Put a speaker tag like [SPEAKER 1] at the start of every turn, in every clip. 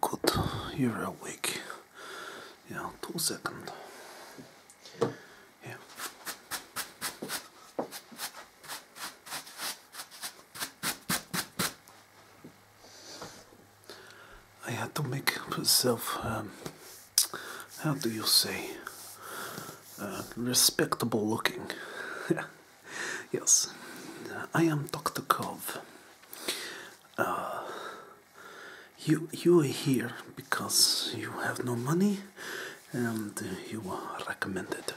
[SPEAKER 1] Good, you're awake. Yeah, two seconds. Yeah. I had to make myself, um, how do you say, uh, respectable looking. yes, I am Dr. Kov. Uh, you, you are here because you have no money and you are recommended.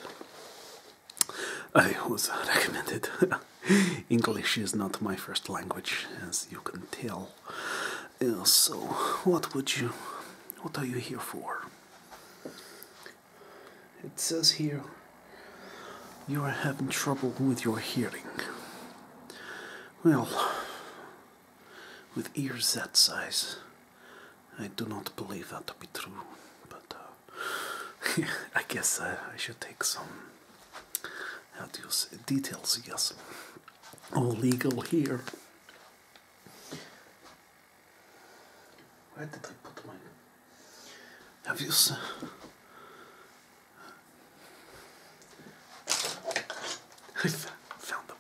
[SPEAKER 1] I was recommended. English is not my first language, as you can tell so, what would you, what are you here for? It says here you are having trouble with your hearing. Well, with ears that size, I do not believe that to be true, but uh, I guess I, should take some details, yes. All legal here. Where did I put mine? Have you seen? I found them.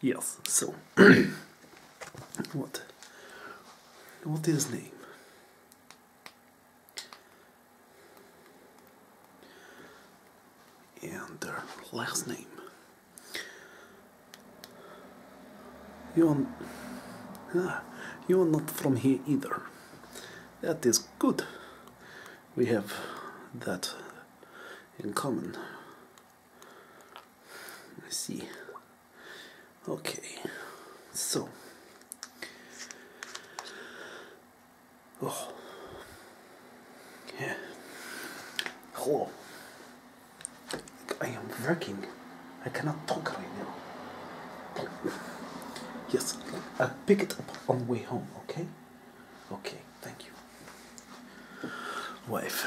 [SPEAKER 1] Yes, so what what is name? and their last name. You are, ah, you are not from here either. That is good. We have that in common. I see. Okay, so Oh. Yeah. Hello. Oh. I am working. I cannot talk right now. Yes, I'll pick it up on the way home, okay? Okay, thank you. Wife.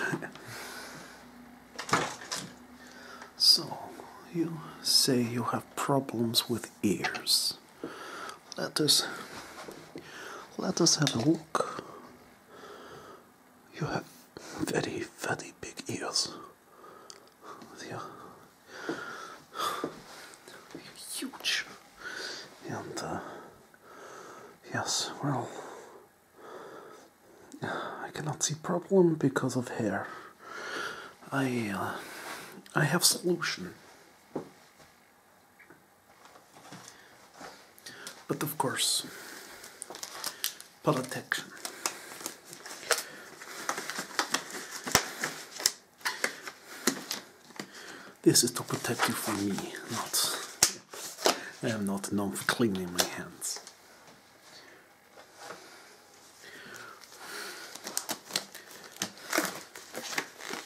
[SPEAKER 1] so, you say you have problems with ears let us let us have a look. You have very, very big ears. They are huge. And, uh, yes, well, I cannot see problem because of hair. I, uh, I have solution. But of course, politics. This is to protect you from me, not. I am not known for cleaning my hands.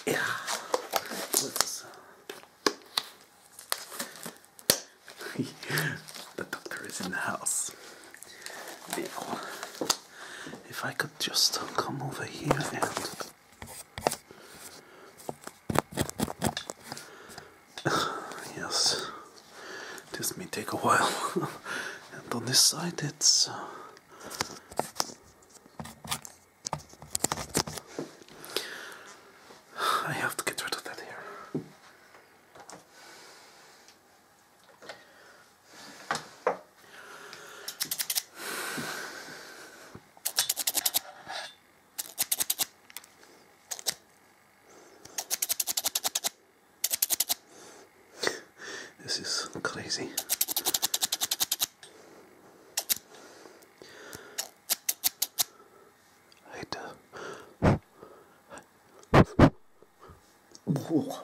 [SPEAKER 1] Yeah. the doctor is in the house. if I could just come over here and. yes, this may take a while. and on this side, it's. Uh, I have to get rid of that here. This is crazy. Haydi. Oh.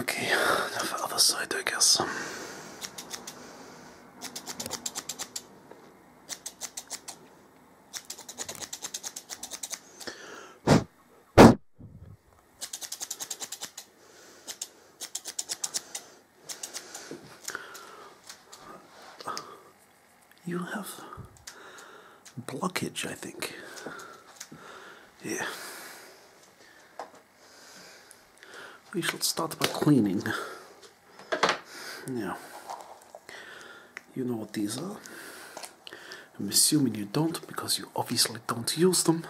[SPEAKER 1] Okay, the other side, I guess. You have blockage, I think. Yeah. We shall start by cleaning. Now, you know what these are. I'm assuming you don't because you obviously don't use them.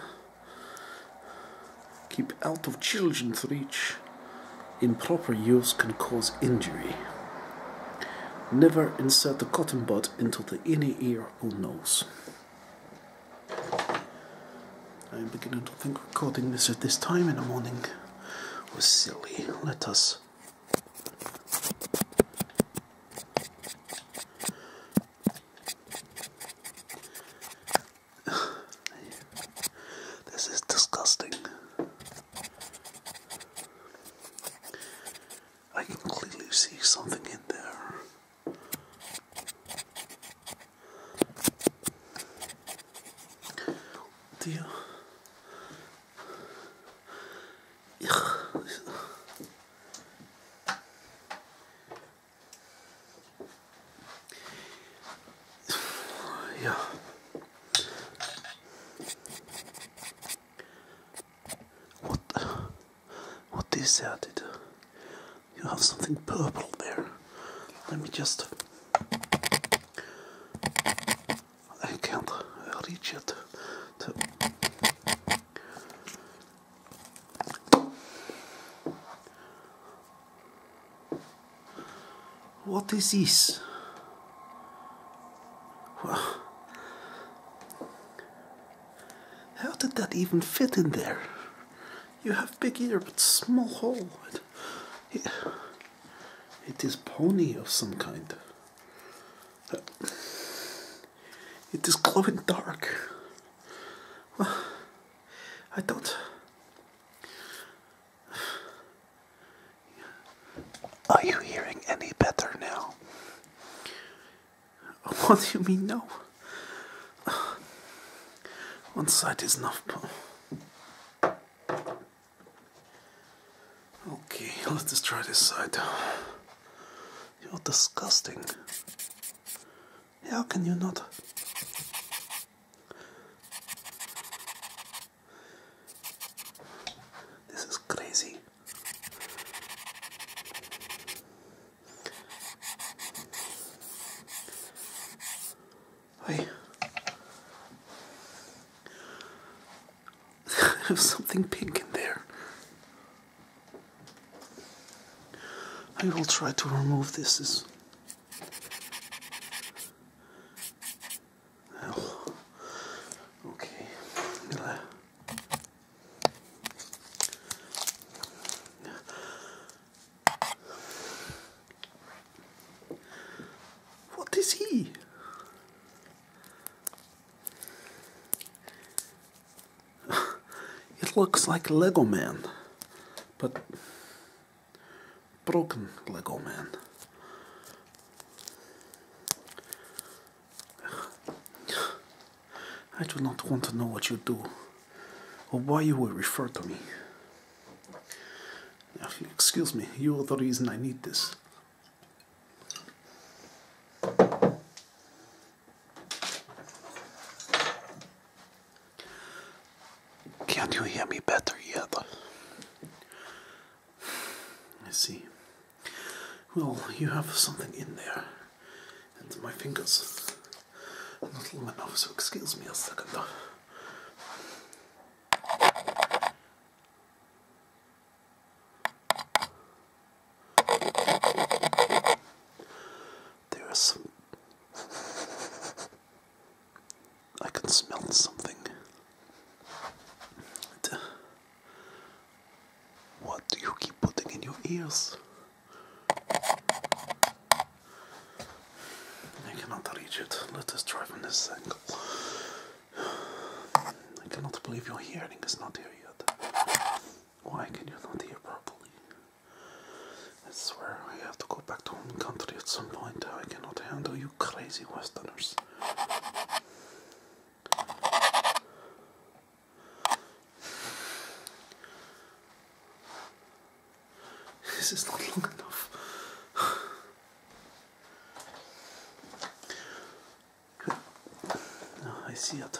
[SPEAKER 1] Keep out of children's reach. Improper use can cause injury. Never insert the cotton bud into the inner ear or nose. I am beginning to think recording this at this time in the morning was silly. Let us this is disgusting. I can clearly see something in there. Tío. Yeah. What? What is that? It, uh, you have something purple there. Let me just. I can't reach it. what is this? Well, how did that even fit in there? You have big ear but small hole. It is pony of some kind. It is glowing dark. I don't. Are you hearing any better now? What do you mean, no? One side is enough. Okay, let's just try this side. You're disgusting. How can you not? This is crazy. I have something pink in there. I will try to remove this. It's what is he? it looks like Lego Man, but broken Lego Man. I do not want to know what you do or why you will refer to me. Excuse me, you are the reason I need this. Can not you hear me better yet? I see. Well, you have something in there. And my fingers are not bit enough, so excuse me a second. There is I can smell something. What do you keep putting in your ears? I cannot reach it. Let us try from this angle. I cannot believe your hearing is not here yet. Why can you not hear properly? I swear I have to go back to home country at some point. I cannot handle you crazy westerners. This is not long enough. Good. Ah, I see it.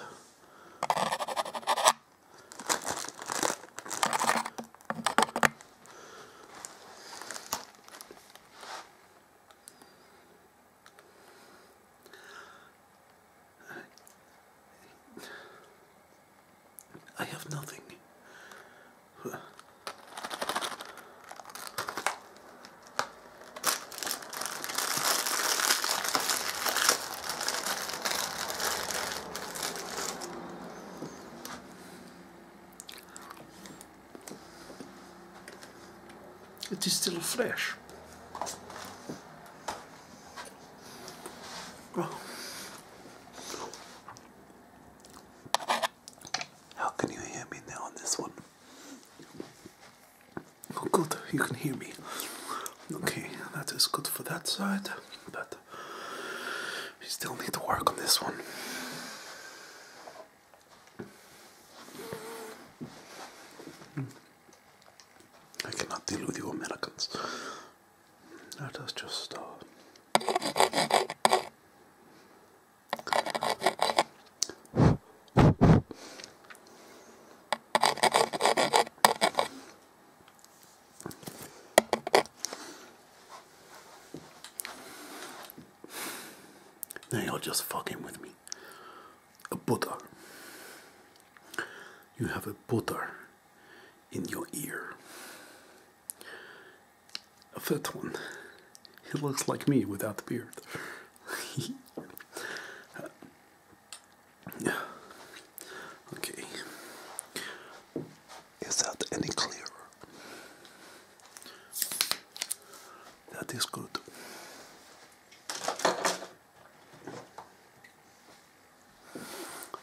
[SPEAKER 1] I have nothing. It is still fresh. Oh. How can you hear me now on this one? Oh, good, you can hear me. Okay, that is good for that side, but we still need to work on this one. Hmm. I cannot deal with you Americans. That is just uh, now you're just fucking with me. A butter. You have a butter in your ear a fifth one. He looks like me without the beard. uh, okay. Is that any clearer? That is good.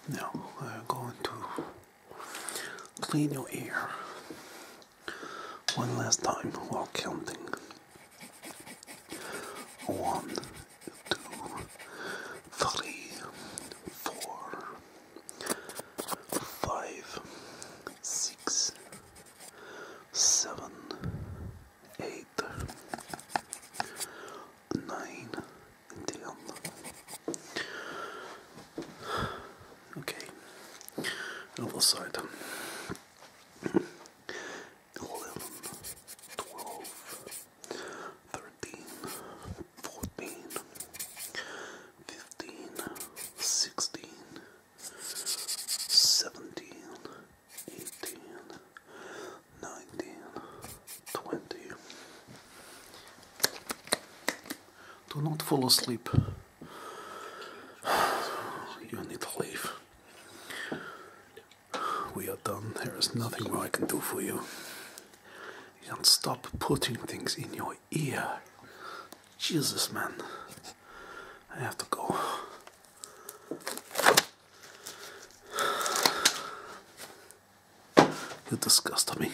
[SPEAKER 1] Now I'm going to Clean your ear one last time while counting. One, two, three, four, five, six, seven, eight, nine, ten. Okay. Other side. Eleven, twelve, thirteen, fourteen, fifteen, sixteen, seventeen, eighteen, nineteen, twenty. Do not fall asleep. You need to leave. We are done. There is nothing more I can do for you. And stop putting things in your ear. Jesus, man. I have to go. You disgust me.